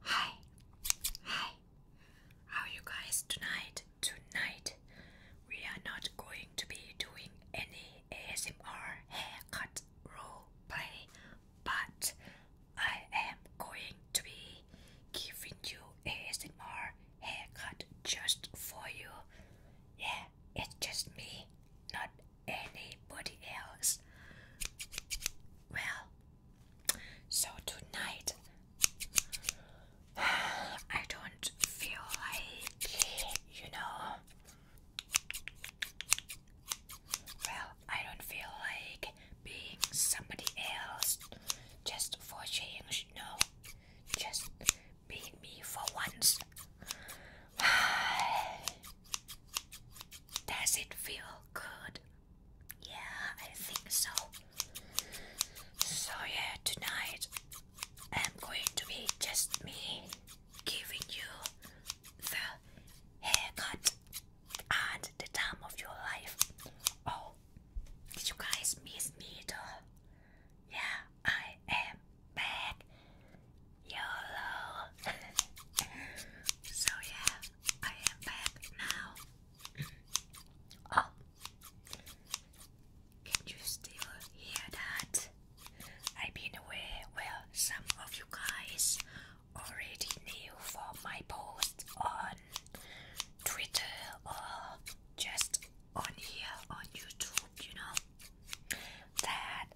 Hi, hi. How are you guys tonight? Tonight, we are not going to be doing any ASMR haircut role play, but I am going to be giving you ASMR haircut just for you. Yeah, it's just me, not anybody else. Well, so tonight I don't feel like, you know, well, I don't feel like being somebody else just for change, no, just being me for once. Does it feel good? Yeah, I think so. So, yeah, tonight I'm going to be just me giving you the haircut at the time of your life. Oh, did you guys miss me though? Yeah, I am back. YOLO. so, yeah. I am back now. oh, can you still hear that? I've been away. Well, some of you guys already knew from my post on Twitter or just on here on YouTube, you know, that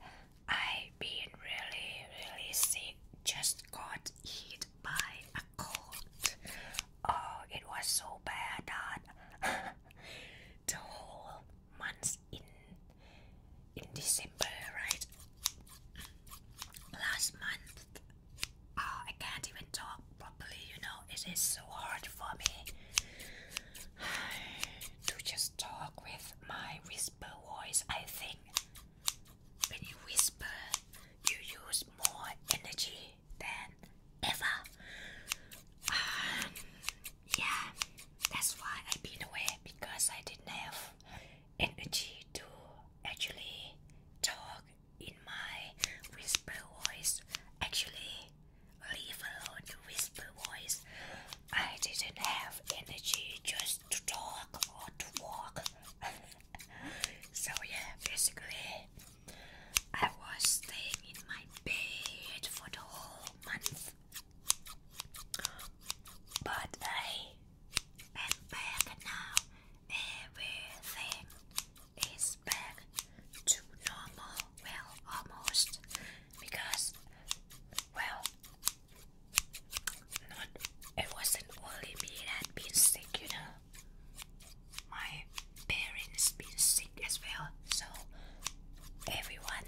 I been really really sick. Just got hit by a cold. Oh, it was so bad that the whole month in in December, right? Last month, oh, I can't even talk properly. You know, it is so hard for me to just talk with my whisper voice. I think when you whisper, you use more energy than ever. Um, yeah, that's why I've been away because I didn't have energy to actually talk in my whisper voice. Actually, leave alone whisper voice. I didn't have energy just to talk or to walk so yeah, basically I was staying in my bed for the whole month. But I am back now. Everything is back to normal. Well, almost. Because, well, not, it wasn't only me that been sick, you know. My parents been sick as well, so everyone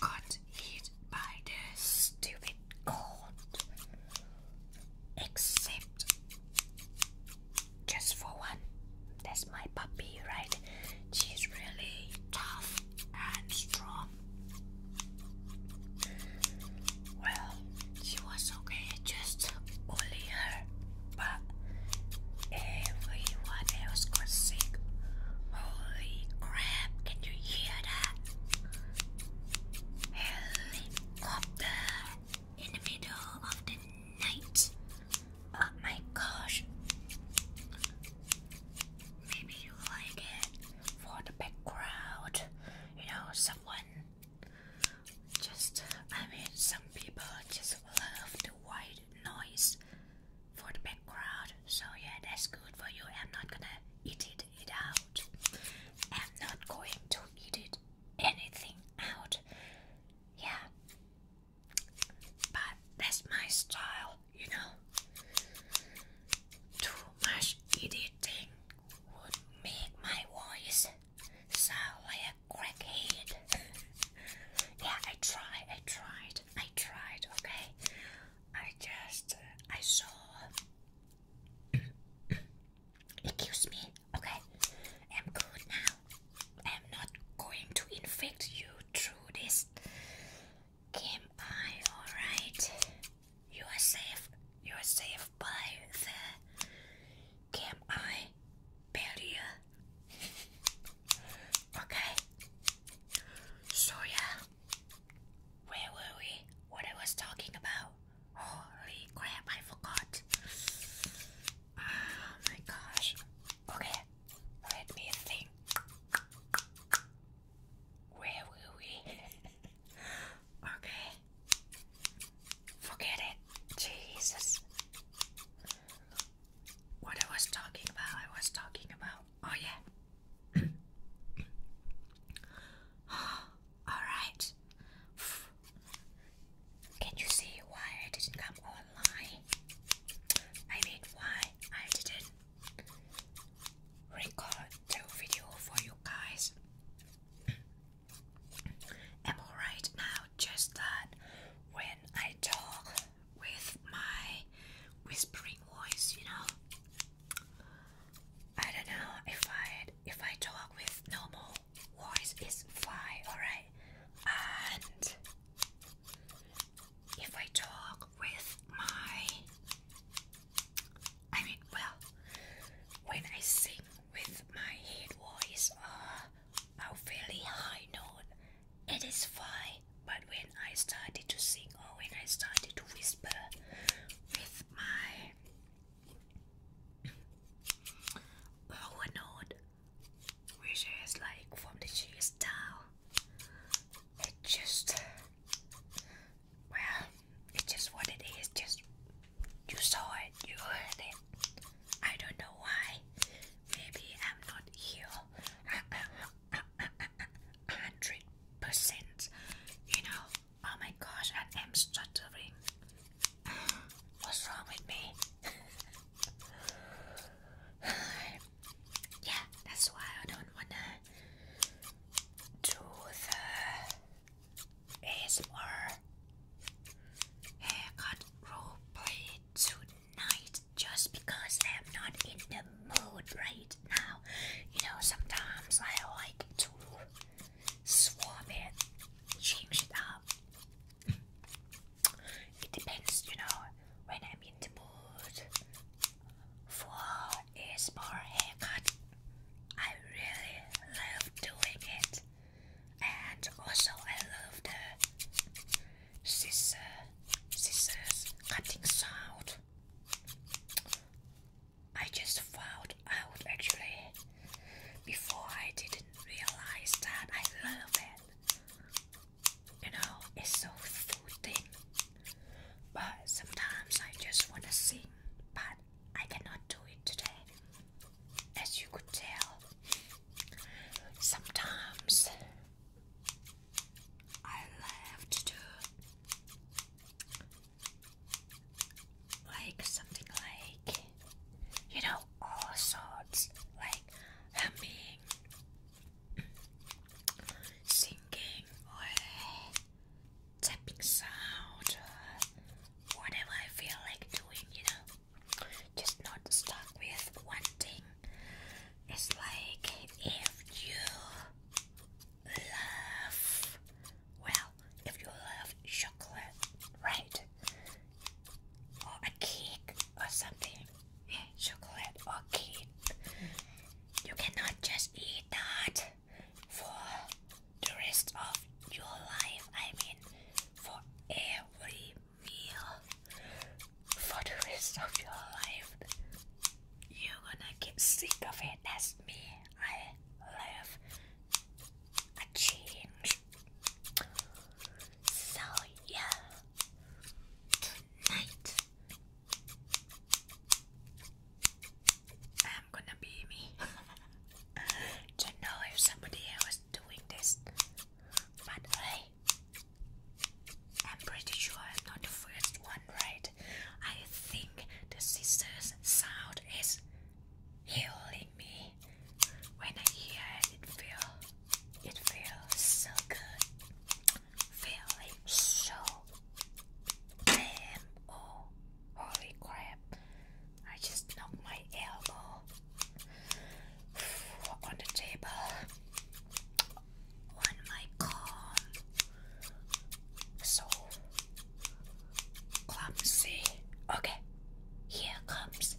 got hit by the stupid cold, except just for one. That's my puppy, right? She's really tough and strong. Well, she was okay, just only her, but everyone else got sick. Holy crap, can you hear that? Helicopter in the middle of the night. Oh my gosh maybe you like it for the background, you know, someone just, I mean, some people just love the white noise for the background, so yeah, that's good for you. I'm not gonna eat it, it out, I'm not going to eat it anything out, yeah, but that's my style you know. Too much editing would make my voice sound like a yeah, I tried, I tried, I tried, okay? I just, I saw. Excuse me, okay? I'm good now. I'm not going to infect you through this Kim I, alright? You are safe. You are safe by the Kim I barrier. okay. So yeah. Where were we? What I was talking about? Holy crap, I forgot. Oh my gosh. Okay, let me think. Where were we? okay. Forget it. Jesus. What I was talking about, I was talking about. Oh, yeah. Alright. Can you see why I didn't come online? I mean, why I didn't record the video for you guys. I'm alright now, just that when I talk with my whispering voice, you know. I don't know if I if I talk with normal voice is fine, alright. And if I talk with my. I mean, well, when I sing with my head voice uh, a very high note, it is fine. But when I started to sing or when I started to whisper with my lower note, which is like from the cheeks down, it just well, it's just what it is. Just you saw it, you heard it. I don't know why. Maybe I'm not here. Hundred percent. You know. Oh my gosh, I am stuttering. What's wrong with me? yeah, that's why I don't wanna to the ASMR haircut roleplay tonight just because I am not in the mood right now. You know, sometimes I like to swap it, change it up. It depends, you know, when I'm in the mood. Four is for haircut. I really love doing it. And also I love the scissor, scissors cutting sound. I just found out actually before I didn't realize that I love it. You know, it's so soothing. But sometimes I just want to sing, but I cannot do it today. As you could tell, sometimes I love to do like something like, you know, all sorts like humming, singing, or tapping sound or uh, whatever I feel like doing, you know. Just not stuck with one thing. It's like if you love, well, if you love chocolate, right? Or a cake or something. Eh, chocolate or cake. You cannot just eat that for the rest of your life. I mean, for every meal, for the rest of your life, you're gonna get sick of it. That's me. I love a change. So, yeah, tonight I'm gonna be me. do know if somebody else doing this, but hey, I'm pretty sure I'm not the first one, right? I think the sisters' sound is healing me. When I hear it, it feels it feels so good. Feeling so damn oh holy crap I just knocked my elbow on the table on my calm so clumsy okay here comes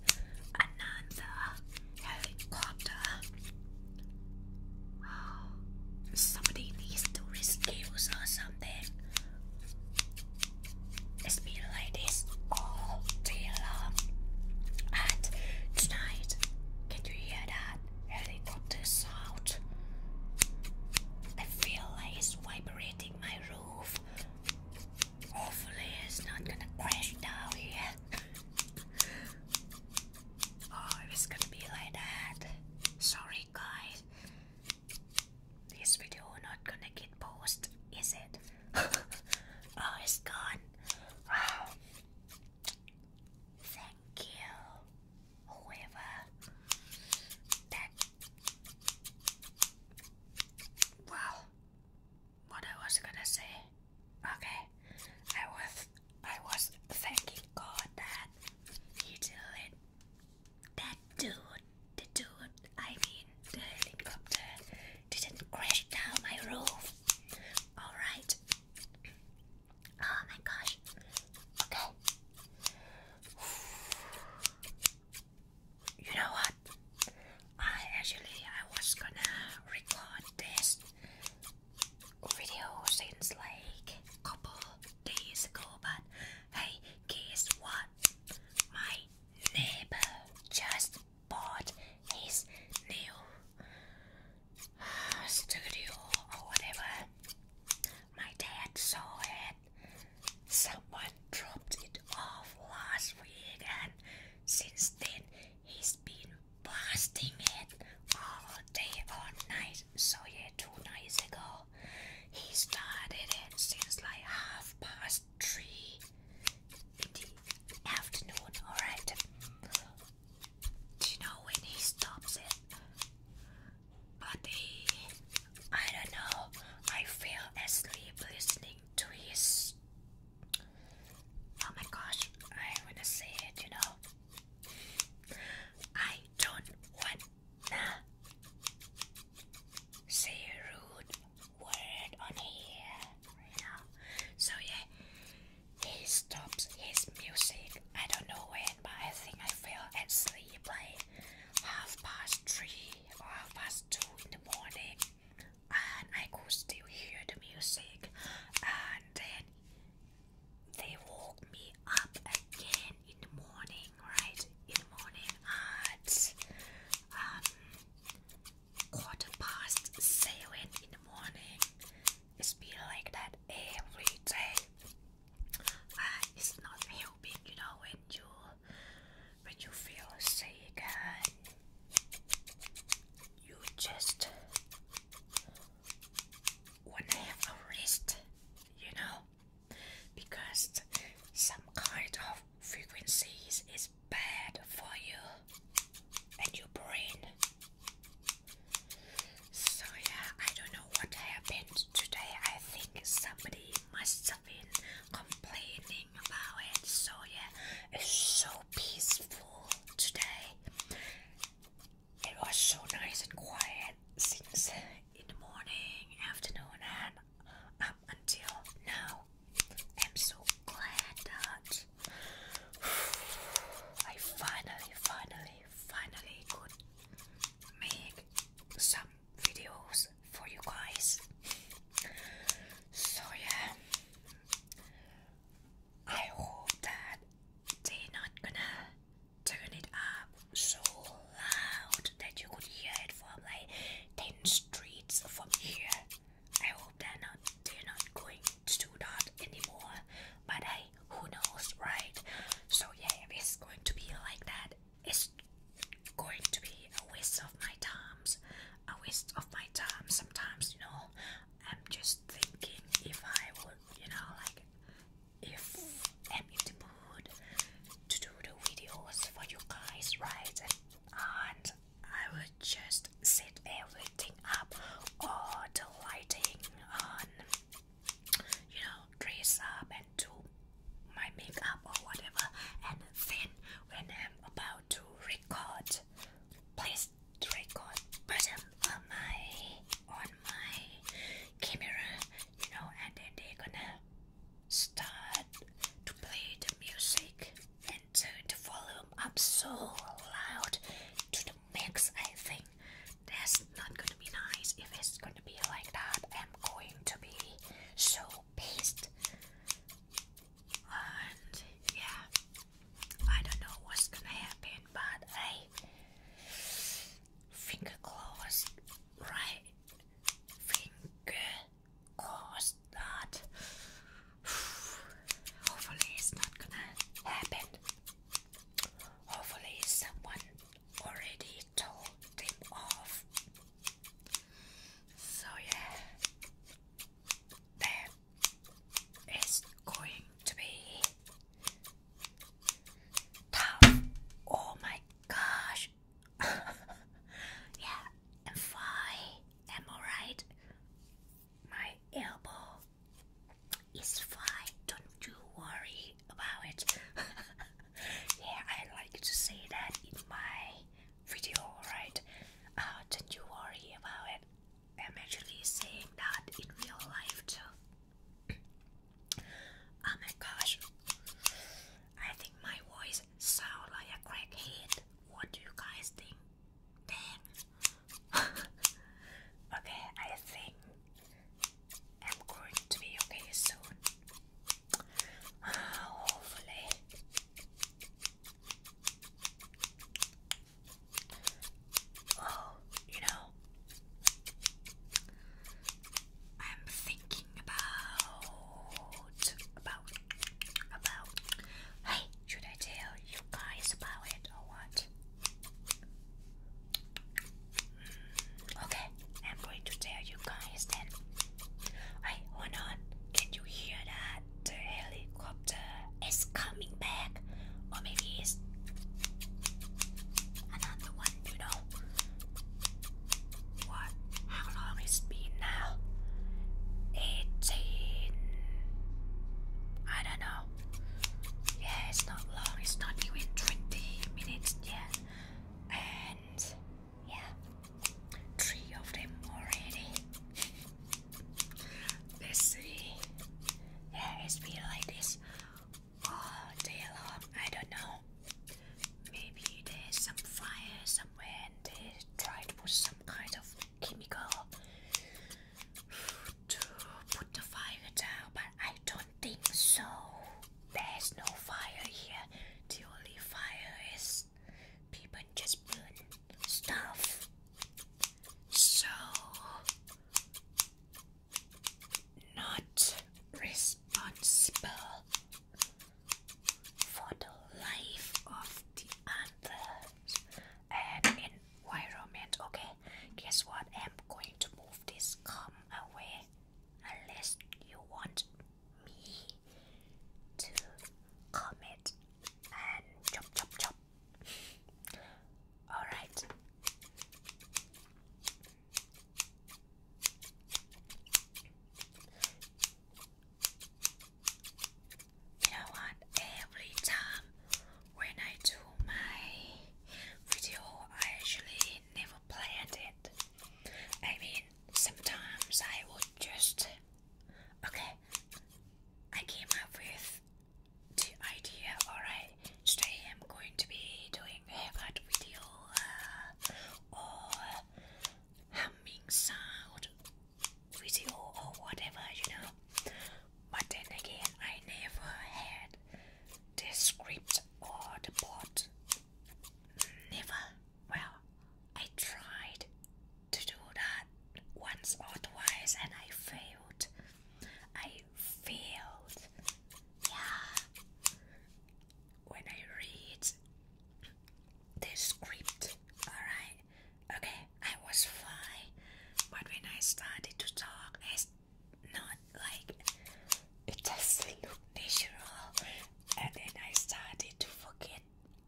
another helicopter Oh, Somebody needs to rescue us or something. It's been like this all day long. And tonight, can you hear that helicopter sound? I feel like it's vibrating my roof. Hopefully, it's not gonna crash down here. oh, it's gonna be like that, sorry god. This video not gonna get posted, is it? oh, it's gone. Wow. Thank you, whoever. That. What I was gonna say. Okay. I was. I was thanking God that he didn't that dude, the dude, I mean the helicopter, didn't crash down my roof. Alright. Oh my gosh. Okay. You know what? I actually I was gonna record this video since like couple days ago, but hey, guess what? My neighbor just bought his new uh, studio or whatever. My dad saw it. Someone dropped it off last week, and since then he's been blasting it all day and night. I saw it two nights ago. He started it since like half past three afternoon, alright? Do you know when he stops it? But he, I don't know, I fell asleep listening to his. Oh my gosh, I wanna say it, you know. I don't want Say rude word on here. So yeah, he stops his music. I don't know when, but I think I fell asleep like half past three or half past two in the morning, and I could still hear the music. And then they woke me up again in the morning, right? In the morning at um, quarter past seven in the morning. It's been like that every day. it's not helping, you know, when you when you feel sick and you just wanna have a rest, you know because some kind of frequencies is bad for you and your brain. So yeah, I don't know what happened today. I think somebody must have been complaining about it. So yeah, it's so peaceful today. It was so nice and quiet since in the morning, afternoon, and up until now. I'm so glad that I finally, finally, finally could make some videos for you guys. So, yeah, I hope that they're not gonna turn it up so loud that you could hear it from like 10 streets from here. I hope they're not they're not going to do that anymore. But hey, who knows, right? So yeah, it's going to be like that, it's going to be a waste of my time. A waste of my time sometimes, you know. I'm just thinking if I would, you know, like if I'm in the mood to do the videos for you guys, right? And I will just set everything up, all the lighting on, you know, dress up and do my makeup or whatever. And then when I'm about to record, please record button on my on my camera, you know, and then they're gonna start to play the music and turn the volume up so loud to the max. I think that's not gonna be nice if it's gonna be like that. I'm going to be so pissed, and yeah, I don't know what's gonna happen, but I. Finger closed, right? Finger closed, not. Hopefully, it's not gonna happen. Hopefully, someone already told them off. So, yeah, that is going to be Oh my gosh. yeah, I'm fine. I'm alright. My elbow is fine. Don't you worry about it. yeah, I like to say that in my video, right? Uh, don't you worry about it. I'm actually saying that in real life too. Oh my gosh. I think my voice sounds like a crackhead. What do you guys think? okay, I think I'm going to be okay soon. hopefully. Oh, you know, I'm thinking about about about. Hey, should I tell you guys about it or what? Hmm, okay, I'm going to tell you guys then. Hey, hold on. Can you hear that? The helicopter is coming back, or maybe it's another one you know. What? How long it's been now? 18. I don't know. Yeah, it's not long. It's not even 20 minutes yet. And yeah, three of them already. Let's see. Yeah, it's been like this all day I don't know. Maybe there's some fire somewhere and they try to some kind of chemical to put the fire down, but I don't think so. There's no fire here. The only fire is people just burn stuff. So not responsible for the life of the others and environment. Okay, guess what? I'm going to move this come away unless you want me to it and chop chop chop. Alright. You know what? Every time when I do my video, I actually never planned it. I mean, sometimes I would just. Okay, I came up with the idea, alright, today I'm going to be doing favorite video uh, or humming sound video or whatever, you know. But then again, I never had the script or the plot. Never. Well, I tried to do that once or twice and I failed. I failed. Yeah when I read the script, alright? Okay, I was fine, but when I started to talk, it's not like it's a not natural, and then I started to forget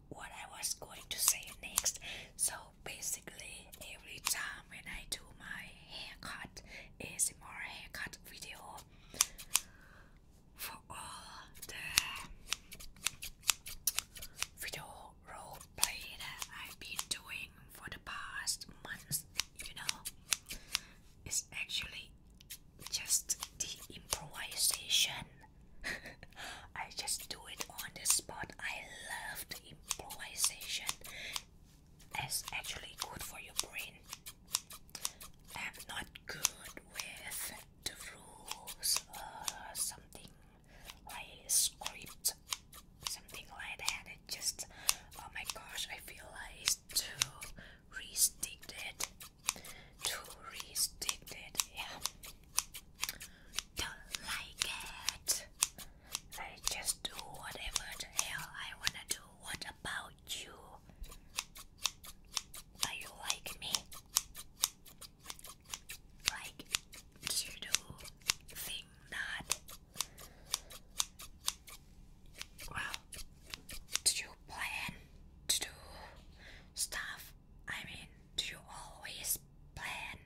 what I was going to say next. So basically, every time when I do my haircut, it's more haircut video, for all the video role play I've been doing for the past months. You know, it's actually just the improvisation. I just do it on the spot. I love the improvisation is actually good for your brain. am not good with the rules uh, something like script, something like that. It just, oh my gosh, I feel like too restricted. Too restricted, yeah. Don't like it. I just do whatever the hell I wanna do. What about you? Are you like me? Like you do think not? Well, do you plan to do stuff? I mean, do you always plan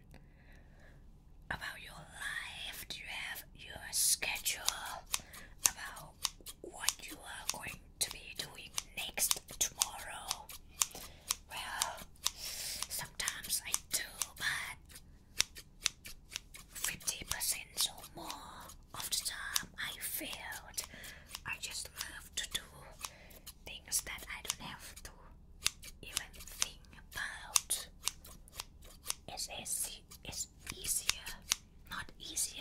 about your life? Do you have your schedule about know what you are going to be doing next tomorrow. Well, sometimes I do, but 50% or more of the time I failed. I just love to do things that I don't have to even think about. It's, easy, it's easier not easier.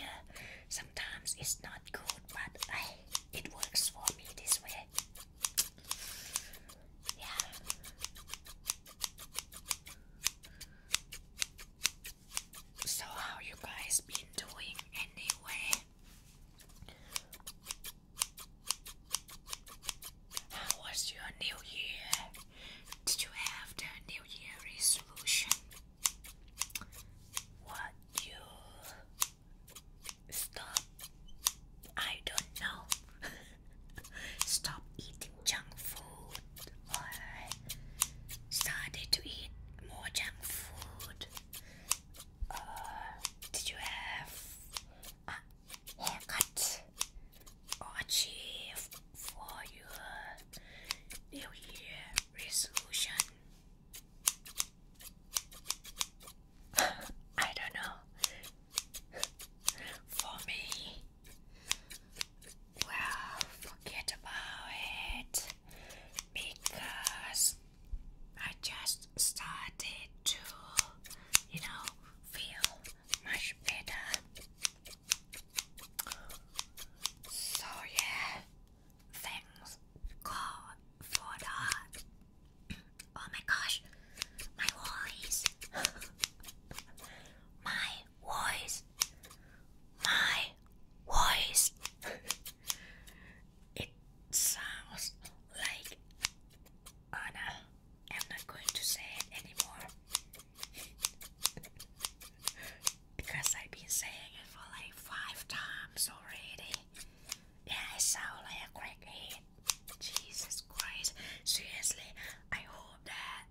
Sometimes it's not good, but eh, it works for me this way. Yeah. So how you guys been doing anyway? How was your new year? Did you have the new year resolution? What you stop? I don't know. stop eating junk food or started to eat more junk food. Uh, did you have a haircut or achieve for your New Year resolution? I don't know. for me, well, forget about it because I just started to, you know, feel much better. So yeah, thanks God for Oh my gosh, my voice, my voice, my voice. it sounds like oh I'm not going to say it anymore. because I've been saying it for like five times already. Yeah, I sound like a crackhead. Jesus Christ. Seriously, I hope that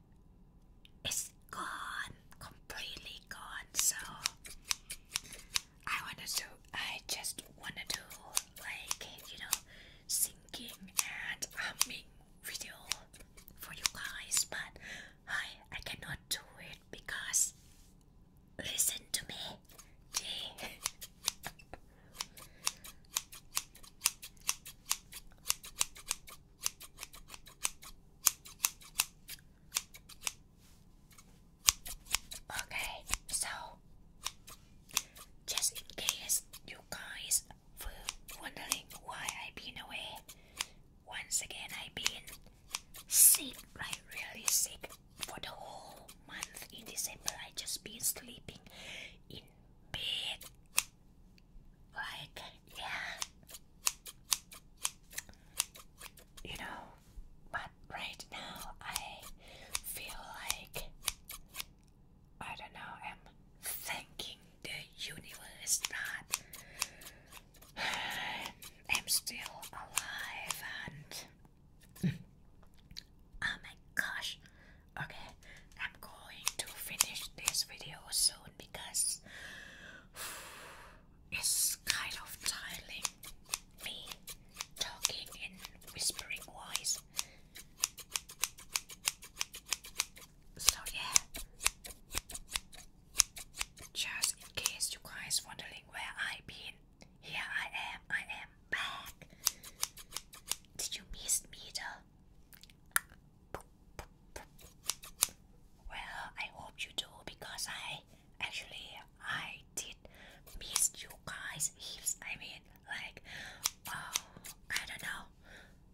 it's gone, completely gone. So I wanted to, I just wanted to like, you know, singing and humming video for you guys, but I I cannot do it because listen to me. Gee. Okay, so just in case you guys were wondering why I've been away, once again, I've been sick, like really sick for the whole month in December. I just been sleeping in bed, like yeah, you know. But right now, I feel like I don't know. I'm thanking the universe that I'm still alive and oh my gosh okay I'm going to finish this video soon because it's kind of tiring me talking in whispering voice so yeah, just in case you guys wondering where I've been, here I am. I am back. Did you miss me, though? Well, I hope you do because I actually I did miss you guys heaps. I mean, like, oh, I don't know.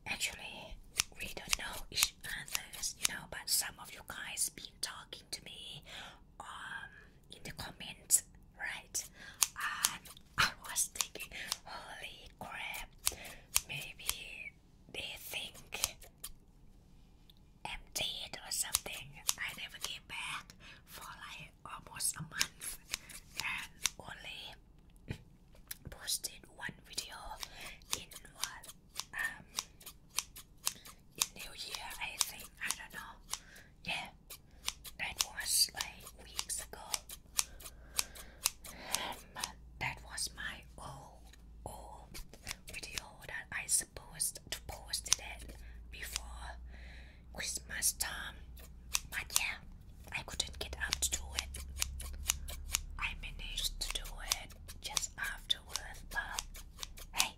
Actually, really don't know each other's, you know, but some of you guys been talking to me um in the comments, right? And um, I was thinking, holy crap, maybe they think I'm dead or something. I never came back for like almost a month and only posted one video in while um, in New Year, I think, I don't know, yeah, that was like weeks ago, but um, that was my old, old video that I supposed to post it before Christmas time, but yeah, I couldn't get up to do it. I managed to do it just afterwards, but hey,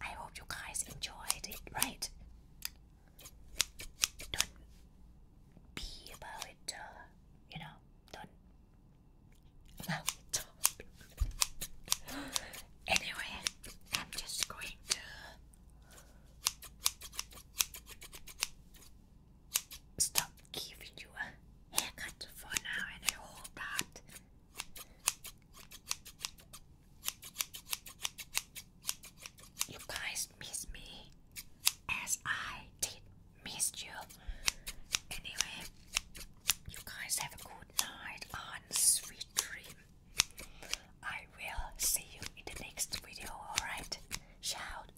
I hope you guys enjoyed it, right? Don't be about it, uh, you know, don't. No, anyway, I'm just going to stop giving you a haircut for now, and I hope that you guys miss me as I did miss you. Anyway, you guys have a good night and sweet dream. I will see you in the next video, alright? Shout!